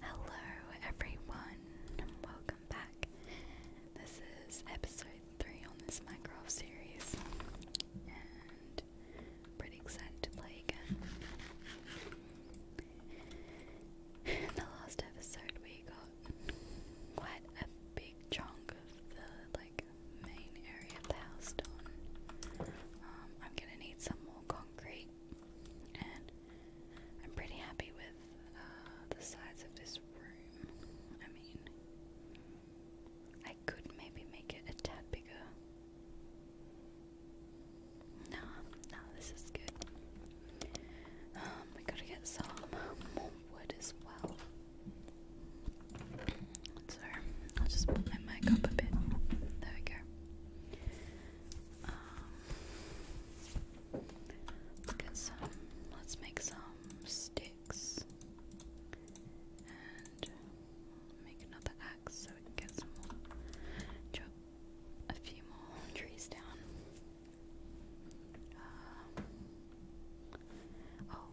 Hello, everyone, and welcome back. This is episode 3 on this Minecraft series, and I'm pretty excited to play again. In the last episode, we got quite a big chunk of the like main area of the house done. Um, I'm gonna need some more concrete I'm pretty happy with uh, the size of this room. I mean, I could maybe make it a tad bigger. No, no, this is good. Um, we gotta get some more wood as well. So I'll just put my mic up a bit. There we go. Um, let's make some sticks and make another axe so we can get some more. a few more trees down. Uh, oh,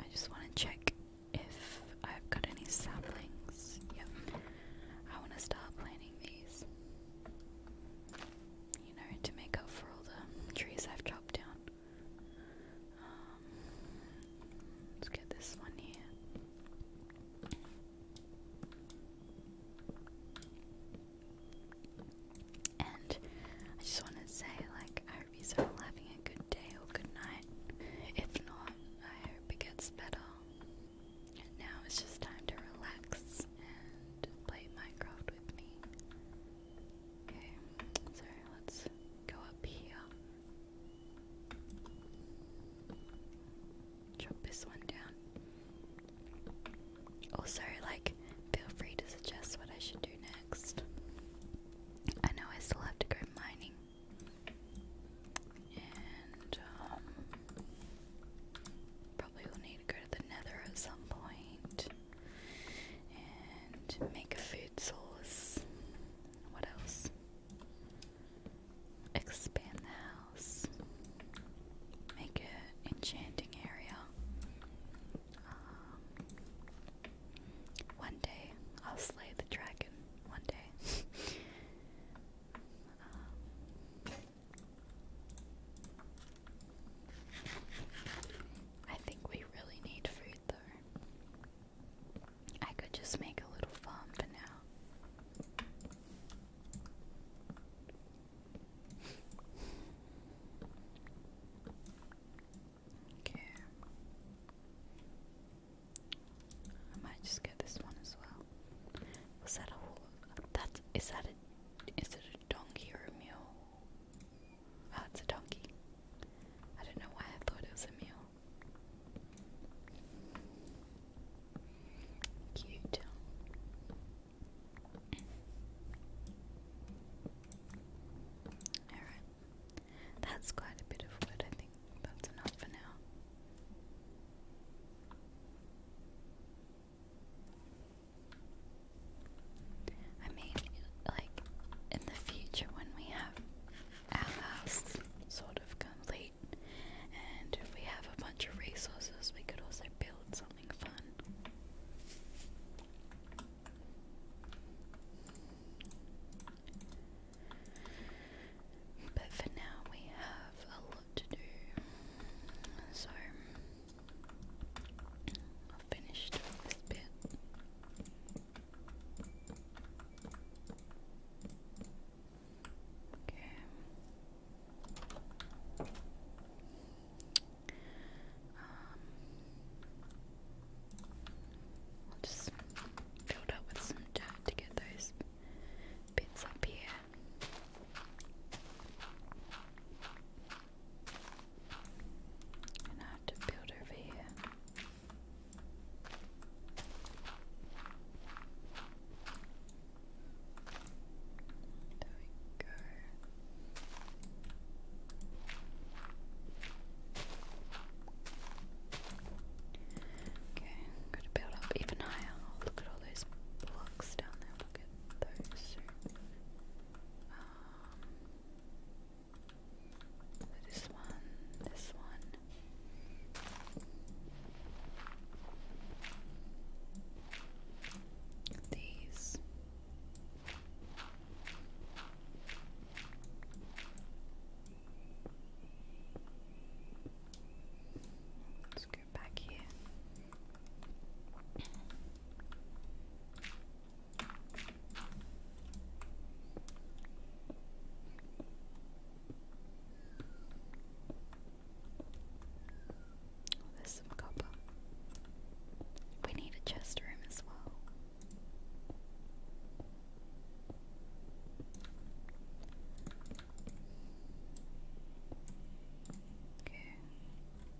I just want to check if I've got any saplings. Yep. I want to start planting these. You know, to make up for all the trees I've chopped down. Um, let's get this one here. And I just want to say, like, I hope you're all having a good day or good night. If not, I hope it gets better. And now it's just time to relax and play Minecraft with me. Okay, so let's go up here. Drop this one down. Also, like, feel free to suggest what I should do next. I know I still have to go mining and um, probably will need to go to the nether at some And make a food source. What else? Expand the house. Make it enchanting area. Um, one day I'll slay the dragon. One day. I think we really need food though. I could just make a little farm for now. Okay. I might just get this one as well. Was that a That is that a? Is it a donkey or a mule? Oh, it's a donkey. I don't know why I thought it was a mule. Cute. Alright. That's quite a bit of wood, I think that's enough for now. I mean, like, in the future when we have our house sort of complete, and we have a bunch of resources, we could also build something fun. But for now, we have a to do. So I've finished this bit. Okay. Um, I'll just build up with some dirt to get those bits up here. And I have to build over here. There we go. Okay, I'm going to build up even higher. Look at all all those blocks down there. Look at those. Um, this one, this one. These. Let's oh, there's some copper. We need a chest room as well. Okay,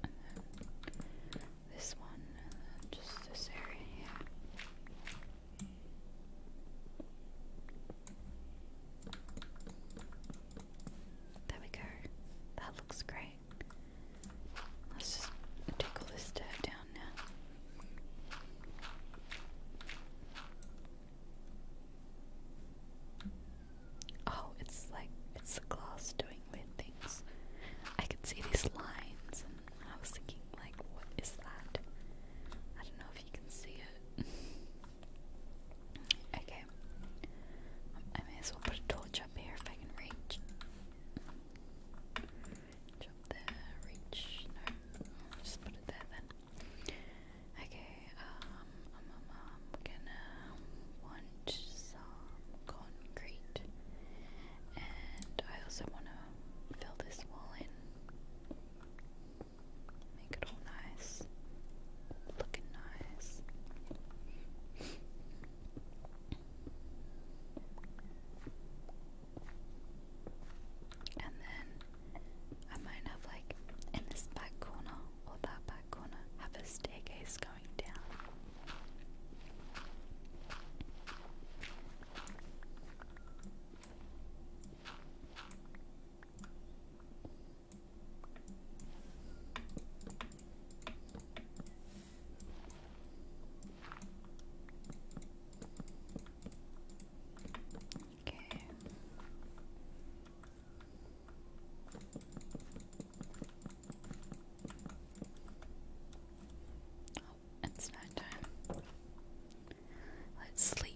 and then this one, and then just this area There we go. That looks great. Let's just take all this dirt down now. Oh, it's like it's the glass doing weird things. I can see these lines, and I was thinking, like, what is that? I don't know if you can see it. okay, I may as well put a torch up here if I can reach. up there, reach. No, just put it there then. Okay, um, I'm gonna want some concrete, and I also wanna fill this wall in, make it all nice, looking nice. And then I might have like in this back corner or that back corner have a staircase going down. Okay. Oh, it's night Let's sleep.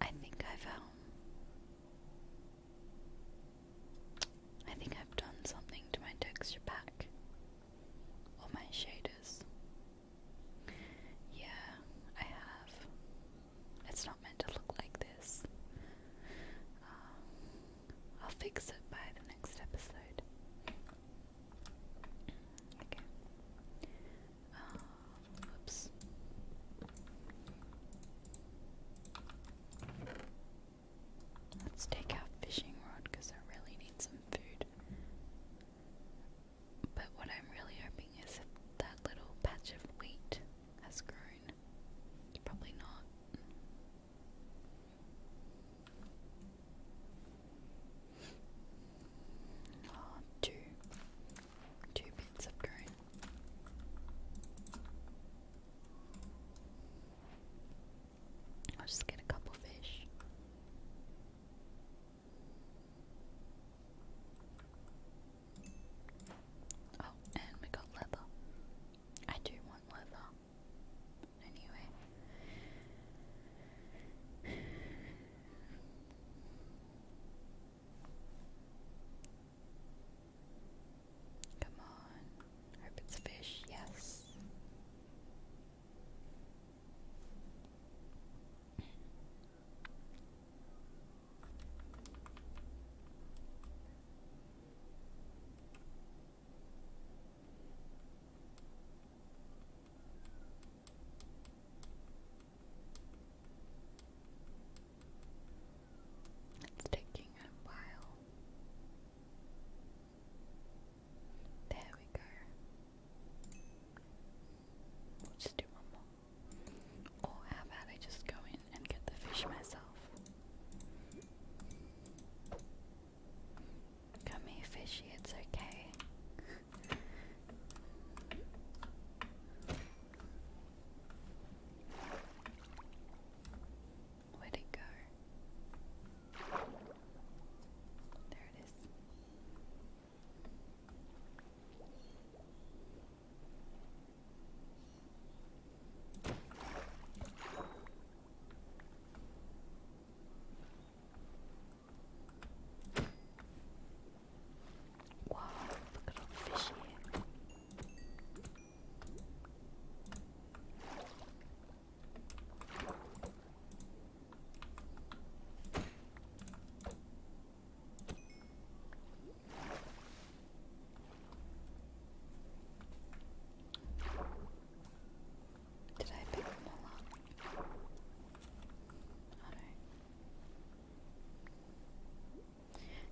I think I found I think I've done something to my texture pack or my shaders. Yeah, I have. It's not meant to look like this. Uh, I'll fix it by the next episode. Okay. Let's take our fishing rod because I really need some food. But what I'm really hoping is that little patch of wheat has grown. Probably not. Oh, two two bits of green. I'll just get a couple fish. Oh, and we got leather. I do want leather. Anyway. Come on. Hope it's fish. Yes. It's taking a while. There we go. We'll just do one more. Or how about I just go and get the fish myself? Come here, fishy, it's okay. Where'd it go? There it is. Wow, look at all the fish here. Did I pick them all up? Alright.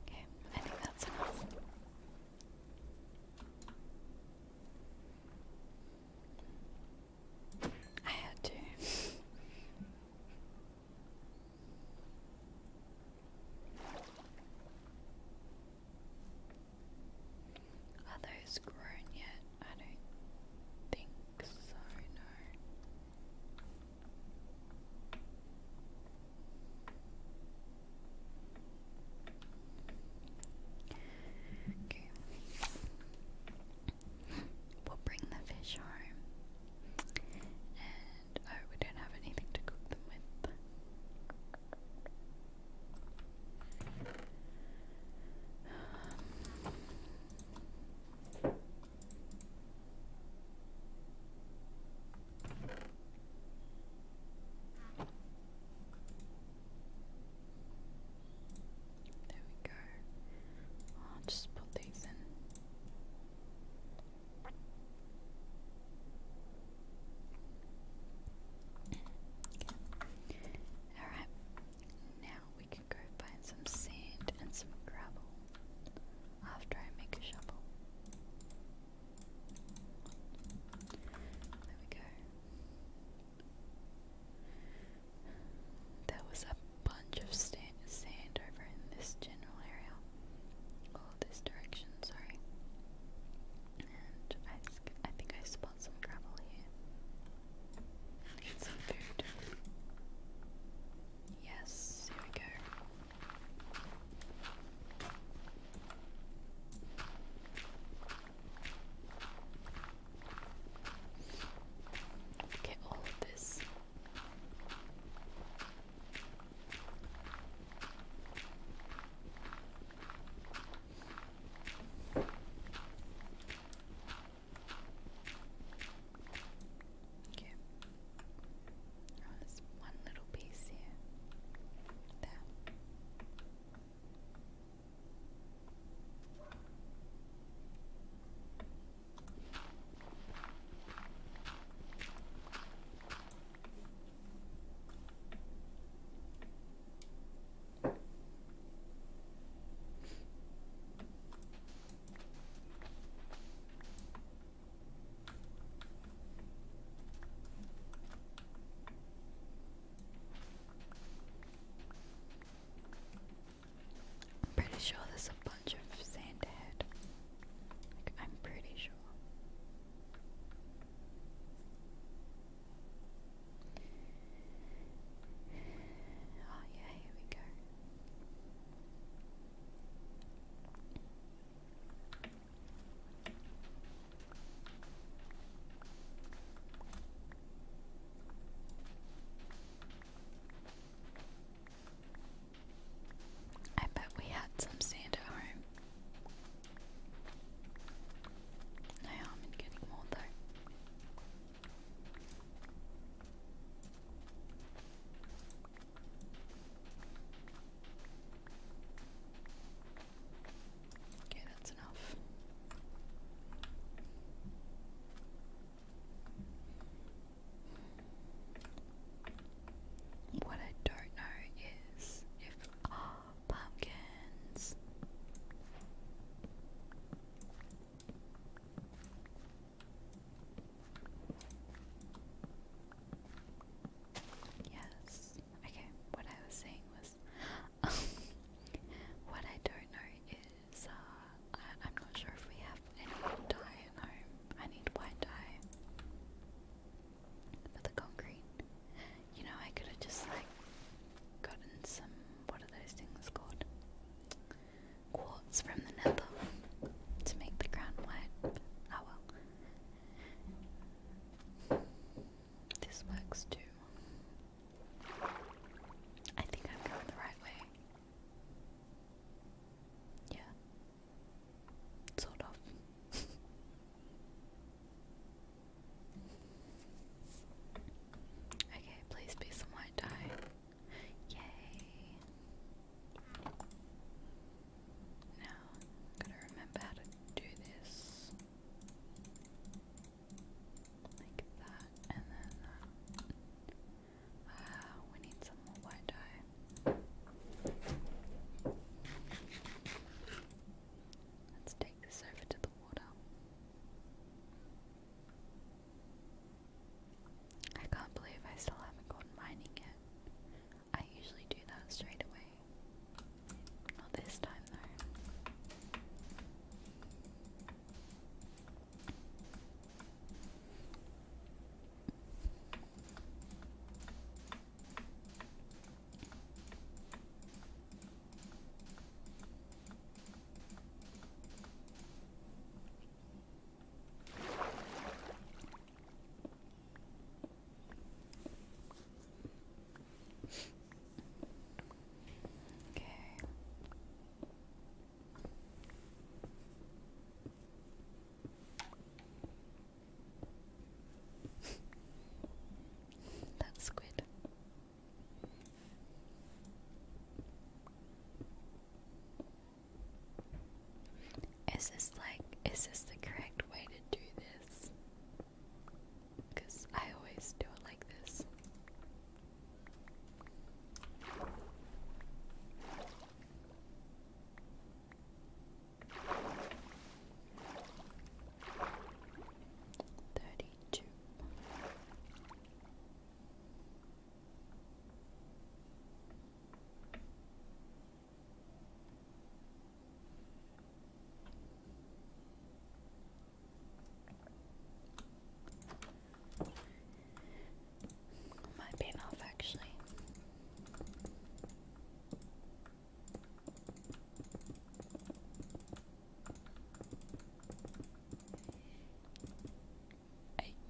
Okay, I think that's enough. I had to. Are those grown yet? I don't think so, no. We'll bring the fish home. And oh, we don't have anything to cook them with. Um, there we go. I'll just put these in. Alright, now we can go find some sand and some gravel after I make a shovel. There we go. There was a bunch of sand over in this general area. All this direction, sorry. And I, think I spot some gravel here. Yes, here we go. Get all of this. Okay. Oh, there's one little piece here. There. I'm pretty sure there's a bunch of sand ahead. I'm pretty sure. Oh, yeah, here we go. I bet we had some sand at home. No harm in getting more though. Okay, that's enough. What I don't know is if pumpkins. Yes. Okay, what I was saying was what I don't know is uh, I'm not sure if we have any dye at home. I need white dye for the concrete. You know, I could have just like gotten some what are those things called? Quartz from the nether to make the ground white. Oh well. This works too. I think I'm going the right way. Yeah. Sort of. okay, please be some white dye. Yay. Now, I've got to remember how to do this. Like that, and then uh, we need some more white dye. Let's take this over to the water. I can't believe I still haven't gone mining yet. I usually do that straight away. Not this time though. Okay. That's good. Is this like is this the correct way to do this? Because I always do it like this. Thirty two. Might be enough actually.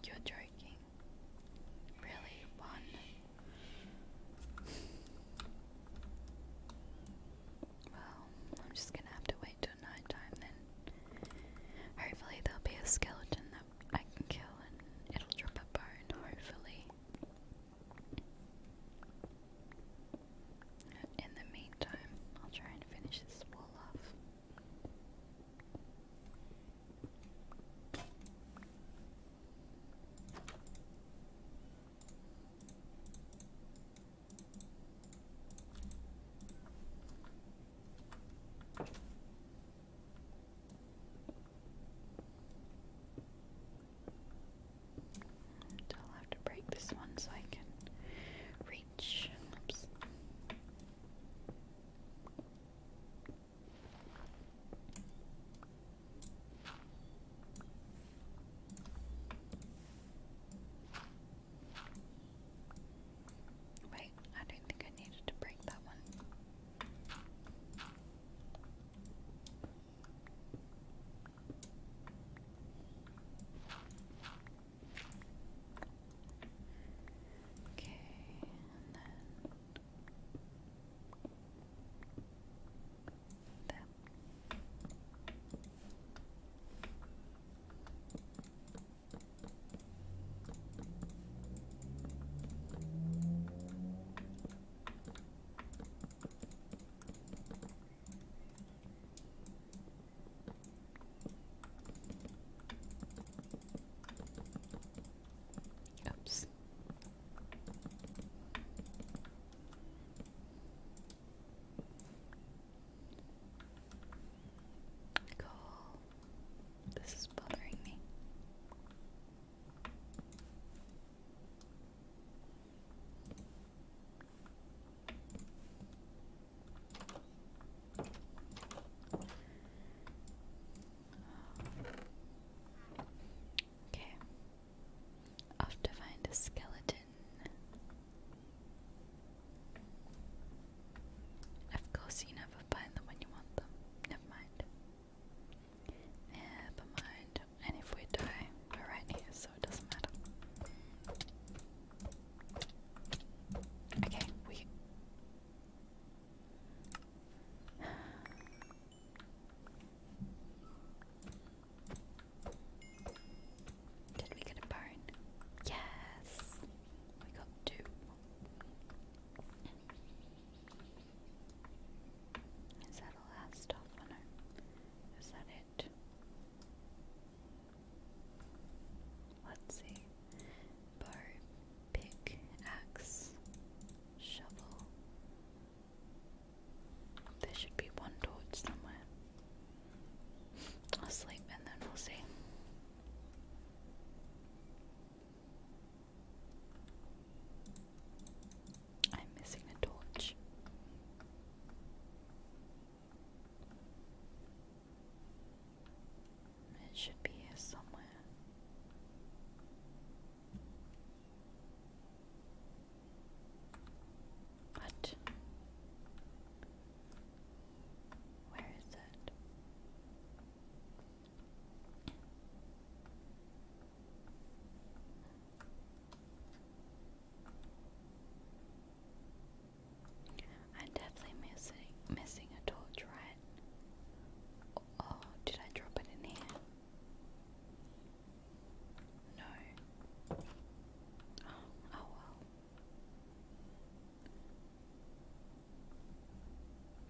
you're joking. Really? One well, I'm just gonna have to wait till night then. Hopefully there'll be a skeleton that I can kill and it'll drop a bone, hopefully. In the meantime, I'll try and finish this wall off. I'll have to break this one so I can reach. Oops. Wait, I don't think I needed to break that one. Okay, and then them. Oops. Cool. This is bothering me. Okay. I have to find a skeleton. Of course, you never find them when you want Never mind. Never mind. And if we die, we're right here, so it doesn't matter. Okay, we. Did we get a bone? Yes! We got two. Is that all our stuff? Is that it? Let's see. Bow, pick, axe, shovel, there should be one torch somewhere. I'll sleep and then we'll see. I'm missing a torch. It should be here somewhere. What? Where is it? I'm definitely missing missing a torch, right? Oh, did I drop it in here? No. Oh, oh well.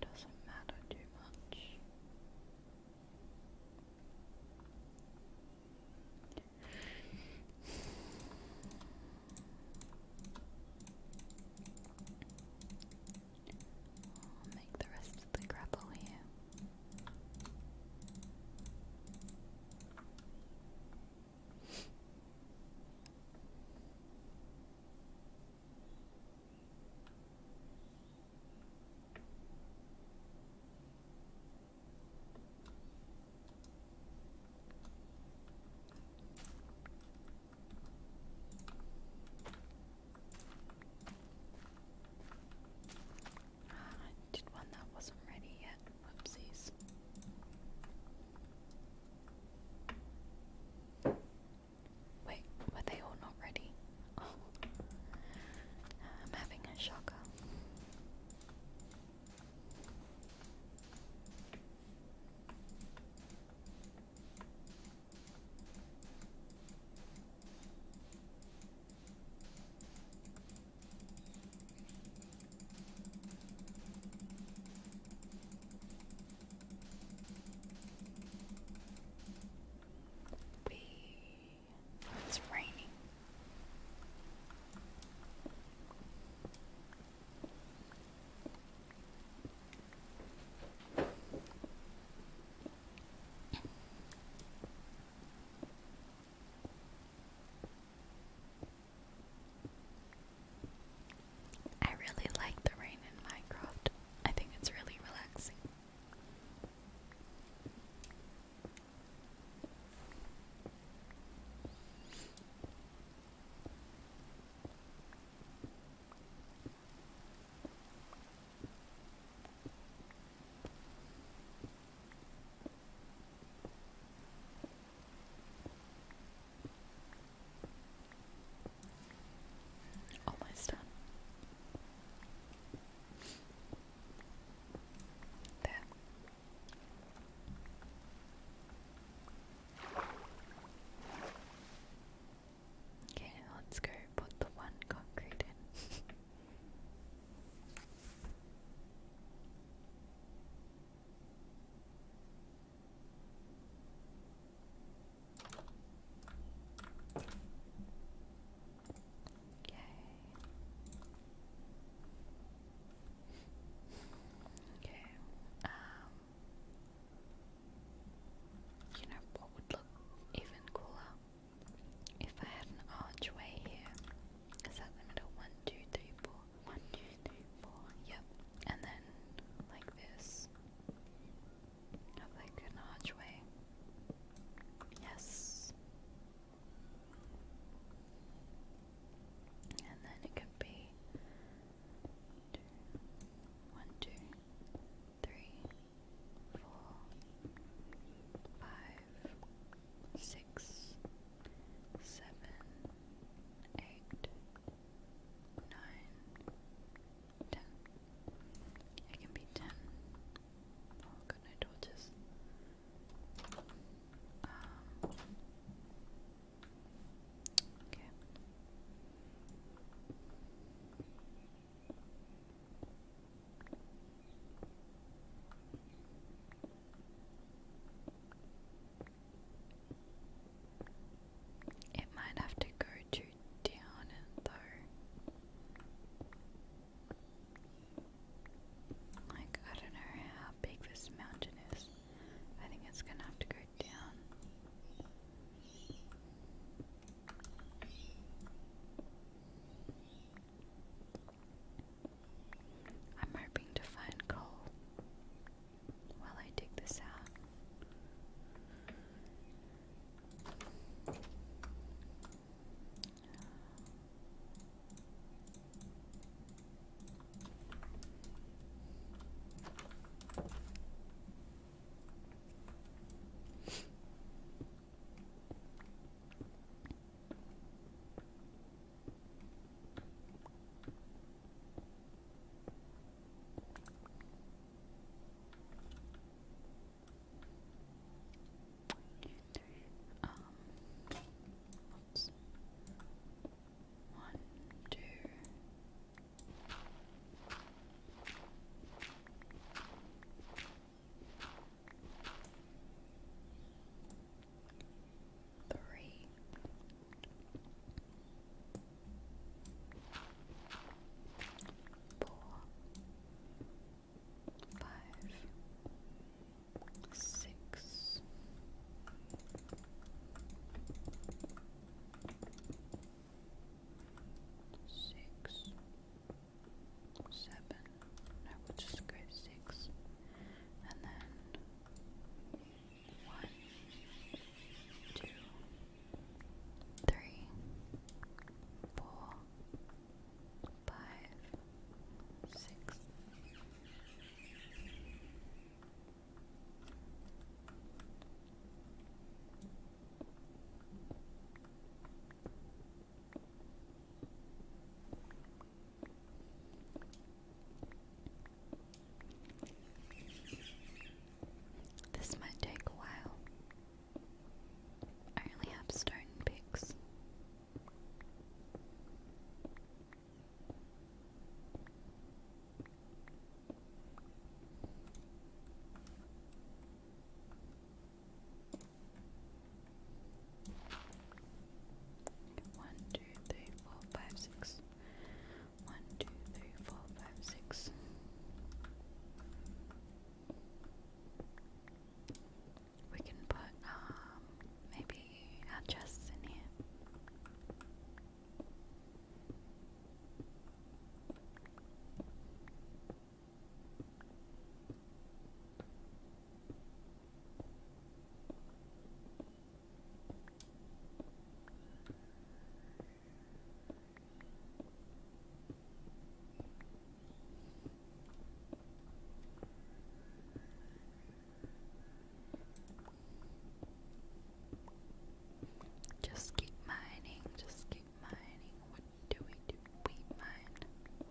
Doesn't matter too much. I'll make the rest is the grapple here? Uh, I did one that wasn't ready yet. Whoopsies. Wait, were they all not ready? Oh. I'm having a shocker it's raining. I really like the rain in Minecraft. I think it's really relaxing. Almost done. There. Okay, let's go put the one concrete in. Okay. Okay. Um you know what would look even cooler? If I had an archway here, is that the middle? One, two, three, four. One, two, three, four. Yep. And then like this. Have like an archway. Yes. And then it could be two, one, two, three, four, five, six, seven, eight, nine, ten. It can be ten. Oh, good night, torches. Um. Okay. It might have to go to down though. Like I don't know how big this mountain is. I think it's gonna have to go down. I'm hoping to find coal while I dig this out. Um, oops. Three. Four, five, six, six, seven, no, we'll just go six. And then one, two, three, four, five, six. Seven, this might take a while. I only have stone picks. One, two, three, four, five, six. One, two, three, four, five, six. We can put um maybe our in here. Just keep mining, just keep mining. What do we do? We mine.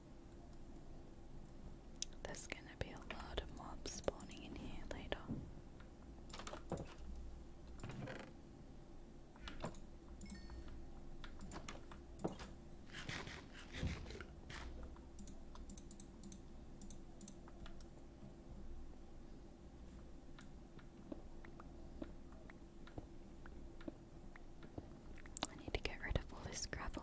There's gonna be a lot of mobs spawning in here later. I need to get rid of all this gravel.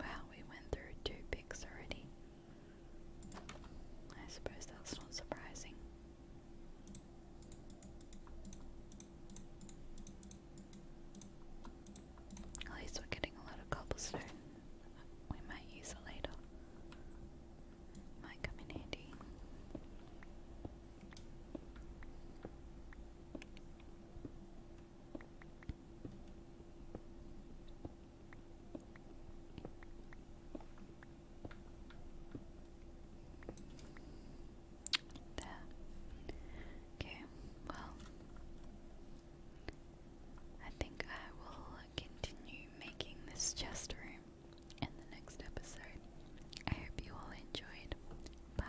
Wow, we went through two picks already. I suppose that's not surprising. At least we're getting a lot of cobblestone. We might use it later. Might come in handy. There. Okay, well, I think I will continue making this chest room in the next episode. I hope you all enjoyed. Bye.